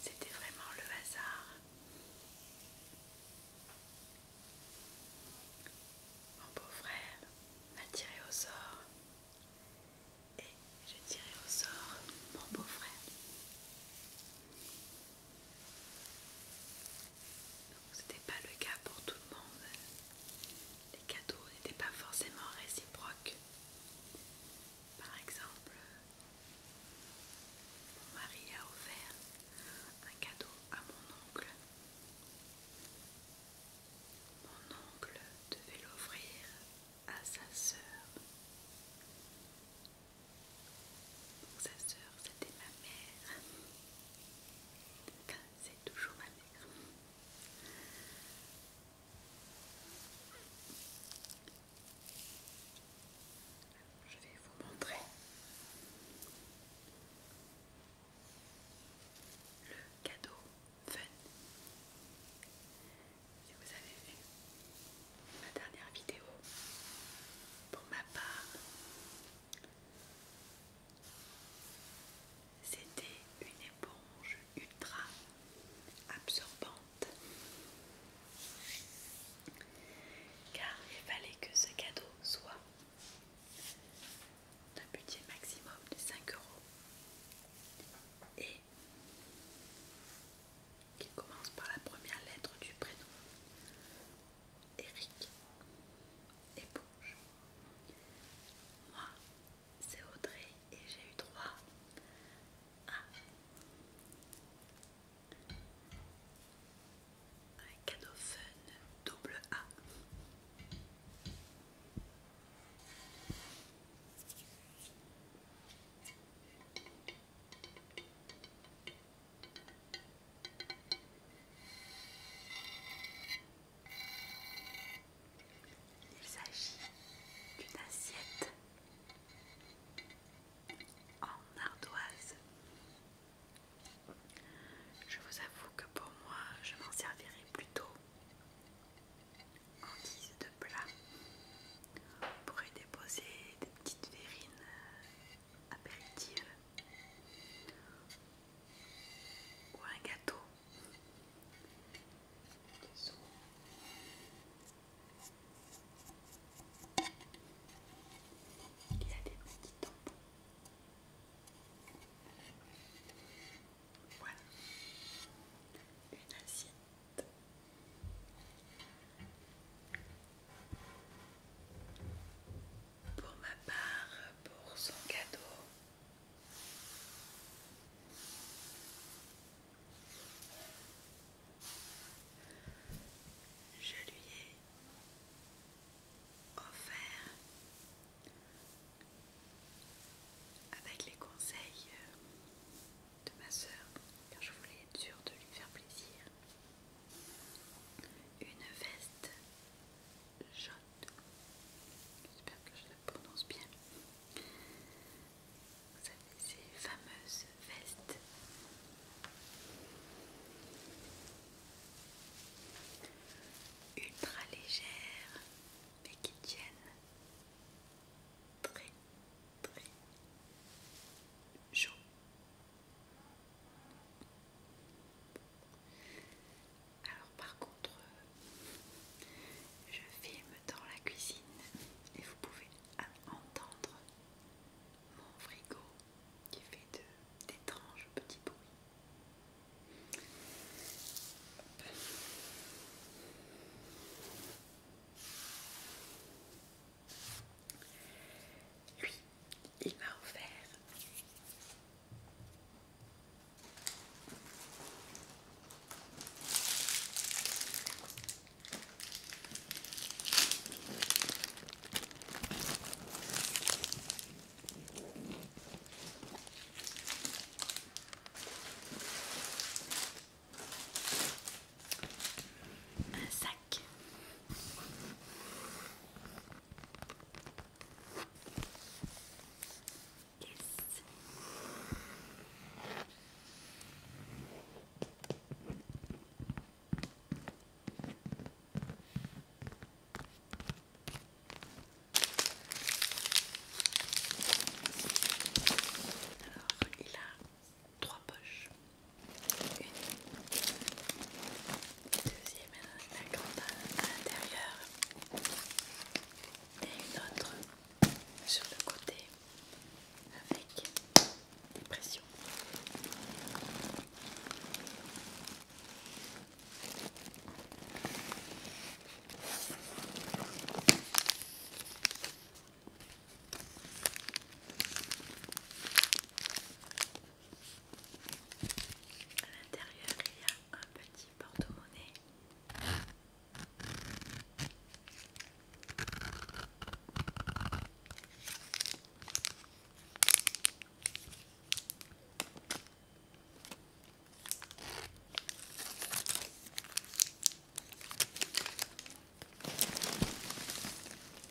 C'était vraiment le hasard. Mon beau-frère m'a tiré au sort et j'ai tiré au sort mon beau-frère. Donc c'était pas le cas pour tout le monde. Les cadeaux n'étaient pas forcément réciproques. Par exemple, mon mari a offert un cadeau à mon oncle. Mon oncle devait l'offrir à sa sœur. Sa sœur, c'était ma mère. C'est toujours ma mère. Je vais vous montrer le cadeau fun. que vous avez vu ma dernière vidéo, pour ma part, c'était une éponge ultra absorbante car il fallait que ce cadeau soit d'un budget maximum de 5 euros et qu'il commence par la première lettre du prénom Eric, éponge. Moi, c'est Audrey et j'ai eu trois un cadeau fun double A. Il s'agit d'une assiette en ardoise. Je vous avoue que pour moi, je m'en servirai plutôt en guise de plat. pour y déposer des petites verrines apéritif ou un gâteau. Il y a des petits tampons. Voilà. Une assiette pour ma part pour son cadeau. Je lui ai offert avec les conseils de ma soeur, car je voulais être sûre de lui faire plaisir, une veste Jaune. J'espère que je la prononce bien. Vous avez ces fameuses vestes. Ultra légères, mais qui tiennent très très chaud. Alors par contre, je filme dans la cuisine et vous pouvez entendre mon frigo qui fait d'étranges petits bruits. Lui, il m'a offert un sac. Alors, il a trois poches deuxième la grande à l'intérieur et une autre sur le côté avec des pressions. À l'intérieur, il y a un petit porte-monnaie.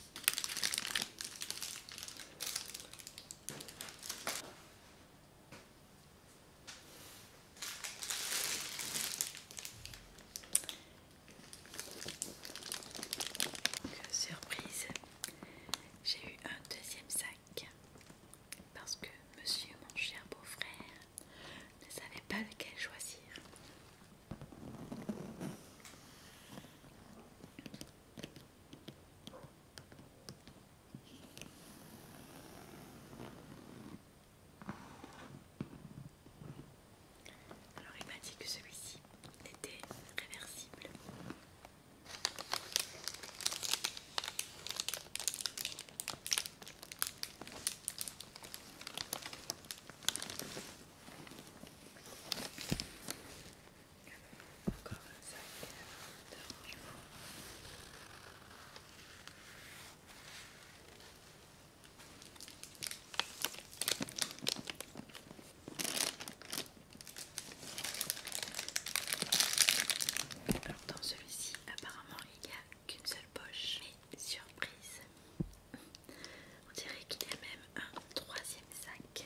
Euh, surprise, j'ai eu un deuxième sac parce que monsieur, mon cher beau-frère, ne savait pas lequel choisir. Alors il m'a dit que celui-ci était réversible. Encore un sac Alors dans celui-ci, apparemment, il n'y a qu'une seule poche. Mais surprise, on dirait qu'il y a même un troisième sac.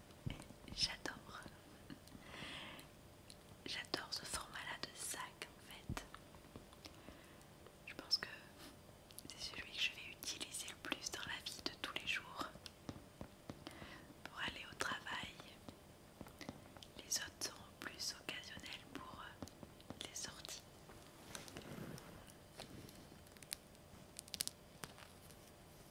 J'adore. J'adore ce format-là de sac en fait. Je pense que c'est celui que je vais utiliser le plus dans la vie de tous les jours. Pour aller au travail. Les autres sont plus occasionnels pour euh, les sorties.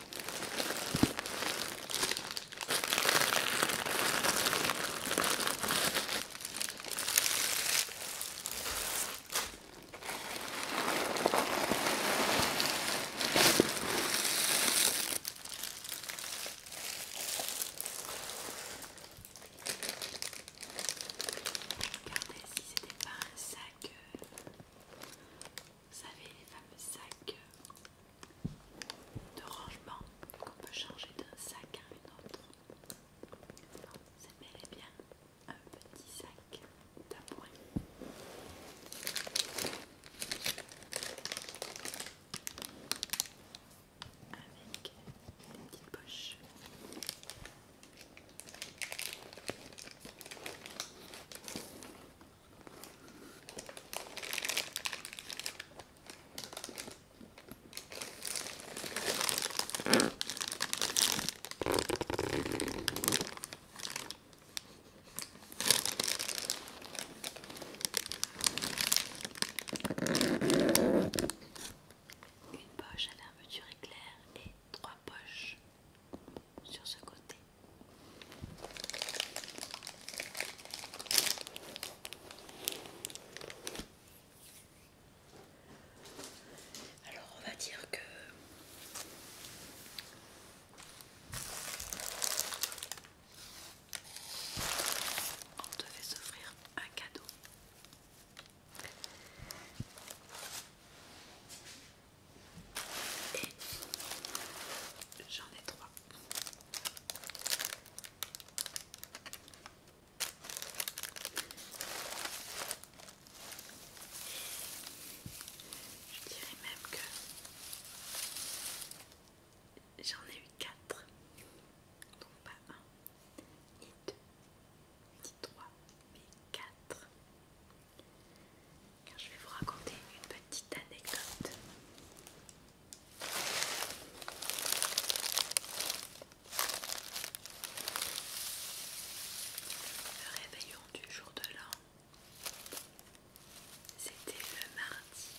Regardez si c'était pas un sac. Euh, vous savez les fameux sacs euh, de rangement qu'on peut changer d'un sac à un autre. C'est bel bien un petit sac d'appoint. Avec une petite poche. Une poche à l'armure éclair et trois poches sur ce côté. Alors on va dire que on devait s'offrir un cadeau. Et j'en ai trois. Je dirais même que j'en ai eu 4, donc pas 1, ni 2, ni 3, mais 4, car je vais vous raconter une petite anecdote. Le réveillon du jour de l'an, c'était le mardi.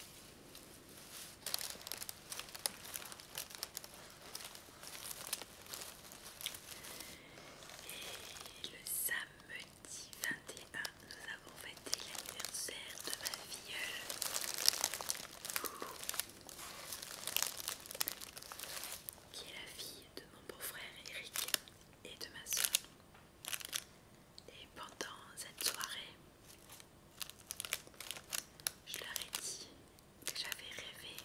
Et le samedi, 10 21, nous avons fêté l'anniversaire de ma filleule qui est la fille de mon beau-frère Eric et de ma soeur. Et pendant cette soirée, je leur ai dit que j'avais rêvé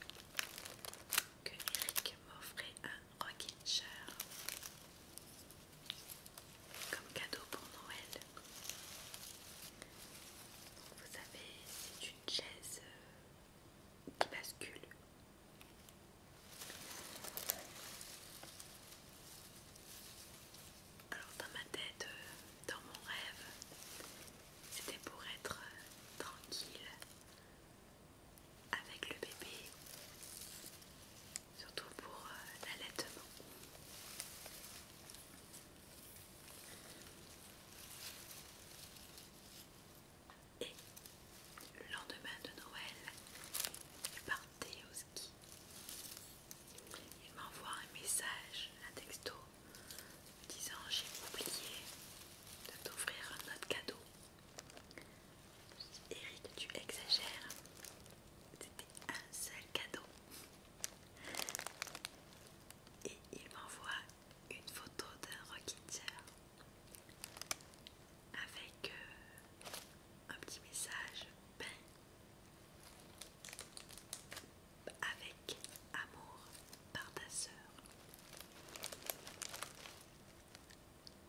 que Eric m'offrait un Rocket chair comme cadeau pour Noël. Vous savez, c'est une chaise euh, qui bascule. Alors dans ma tête, euh, dans mon rêve, c'était pour être euh, tranquille avec le bébé surtout pour euh, l'allaitement. Et le lendemain de Noël, il partait au ski. Il m'envoie un message, un texto, disant j'ai oublié de t'offrir un autre cadeau. Eric, tu exagères. C'était un seul cadeau. Et il m'envoie une photo d'un Rocketeer avec euh, un petit message ben avec amour par ta sœur.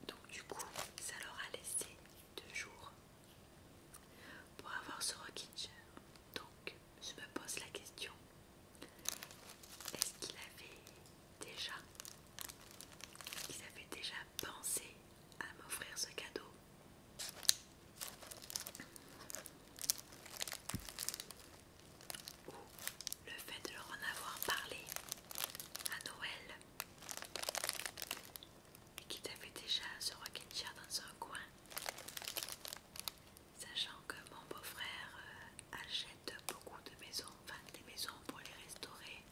Donc du coup, ça leur a laissé deux jours pour avoir ce Rockinger. Donc, je me pose la question est-ce qu'il avait déjà, qu'ils avaient déjà pensé à m'offrir ce cadeau ou le fait de leur en avoir parlé à Noël et qui t'avait déjà ce rocking dans un coin, sachant que mon beau-frère euh, achète beaucoup de maisons, enfin des maisons pour les restaurer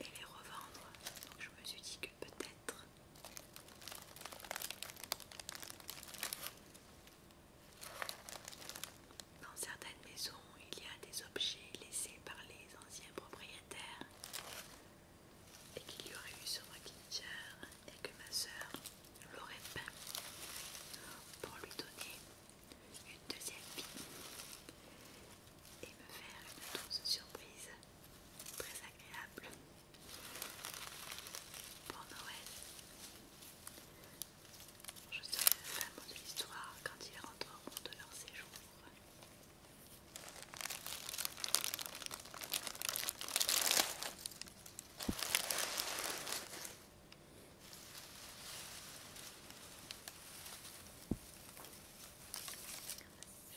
et les revendre, donc je me suis dit que peut-être dans certaines maisons il y a des objets laissés par les anciens propriétaires et qu'il y aurait eu sur ma et que ma sœur l'aurait peint pour lui donner une deuxième vie et me faire une douce surprise très agréable pour Noël. Je serai le femme de l'histoire quand ils rentreront de leur séjour.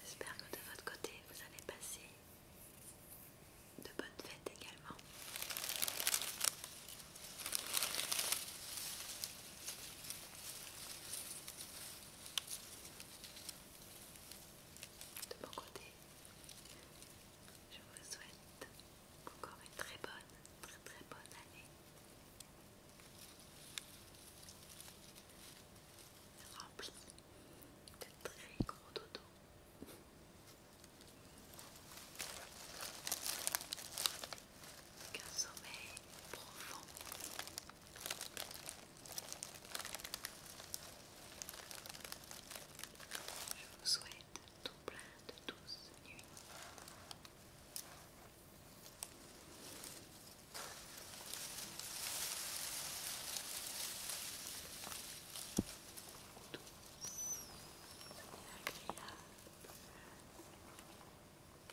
J'espère que de votre côté vous avez passé de bonnes fêtes également. De mon côté, je vous souhaite encore une très bonne, très très bonne année. Remplie de très gros dodo. un sommeil profond je vous souhaite tout plein de douces nuits.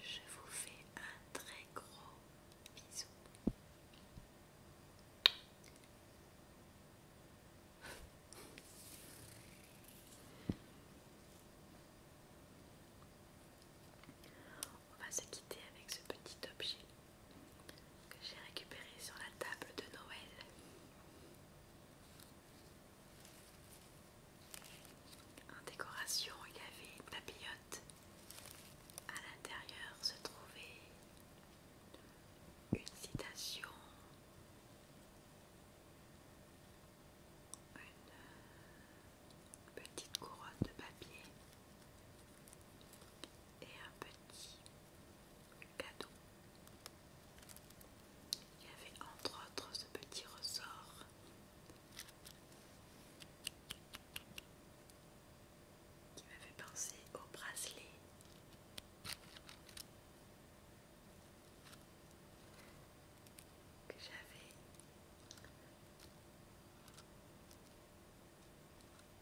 Je vous fais un très gros bisou. On va se quitter avec ce petit objet que j'ai récupéré sur la table de Noël. En décoration, il y avait une papillote. À l'intérieur se trouvait une citation, une petite couronne de papier et un petit cadeau. Il y avait entre autres ce petit ressort. Qui m'avait pensé au bracelet. Que j'avais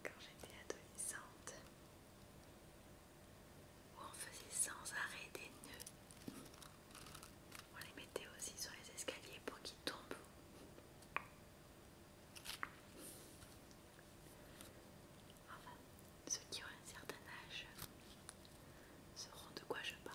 quand j'étais adolescente, où on faisait sans arrêt des nœuds on les mettait aussi sur les escaliers pour qu'ils tombent. Enfin, ceux qui ont un certain âge sauront de quoi je parle.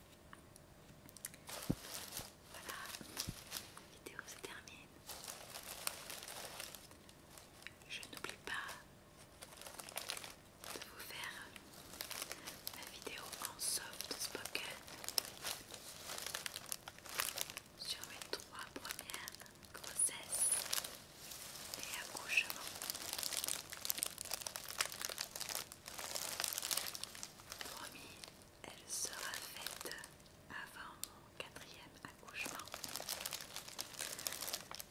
Voilà, la vidéo se termine. Je n'oublie pas de vous faire la vidéo en soft spoken sur mes trois premières grossesses et accouchements elle sera faite avant mon quatrième accouchement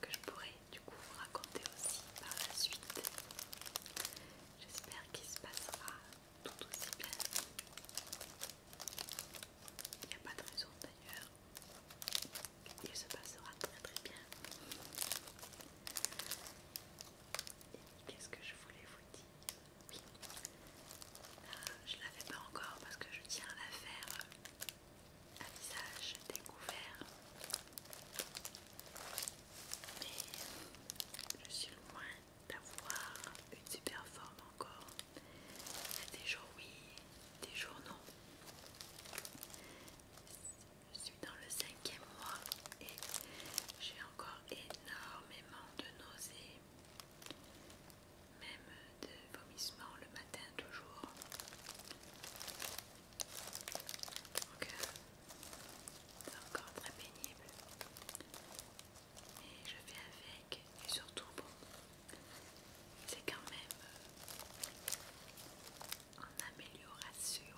que je pourrai du coup vous raconter aussi par la suite. J'espère qu'il se passera tout aussi bien. Il n'y a pas de raison d'ailleurs. Il se passera très très bien qu'est-ce que je voulais vous dire Oui, euh, je ne la pas encore parce que je tiens à la faire euh, à visage découvert. Mais je suis loin d'avoir une super forme encore. Il des jours oui, des jours non. Je suis dans le cinquième mois et j'ai encore énormément de nausées, même de vomissements le matin toujours. Donc euh, c'est encore très pénible. Et je vais avec et surtout bon. C'est quand même en amélioration.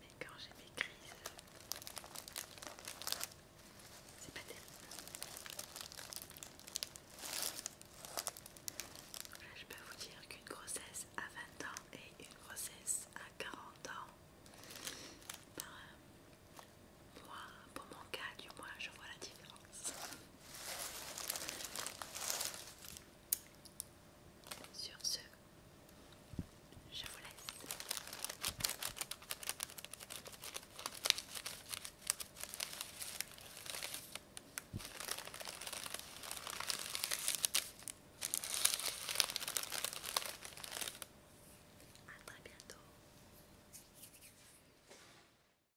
Mais quand j'ai mes crises, c'est pas terrible. je peux vous dire qu'une grossesse à 20 ans et une grossesse à 40 ans, ben, pour mon cas, du moins, je vois la différence. Sur ce, je vous laisse. À très bientôt.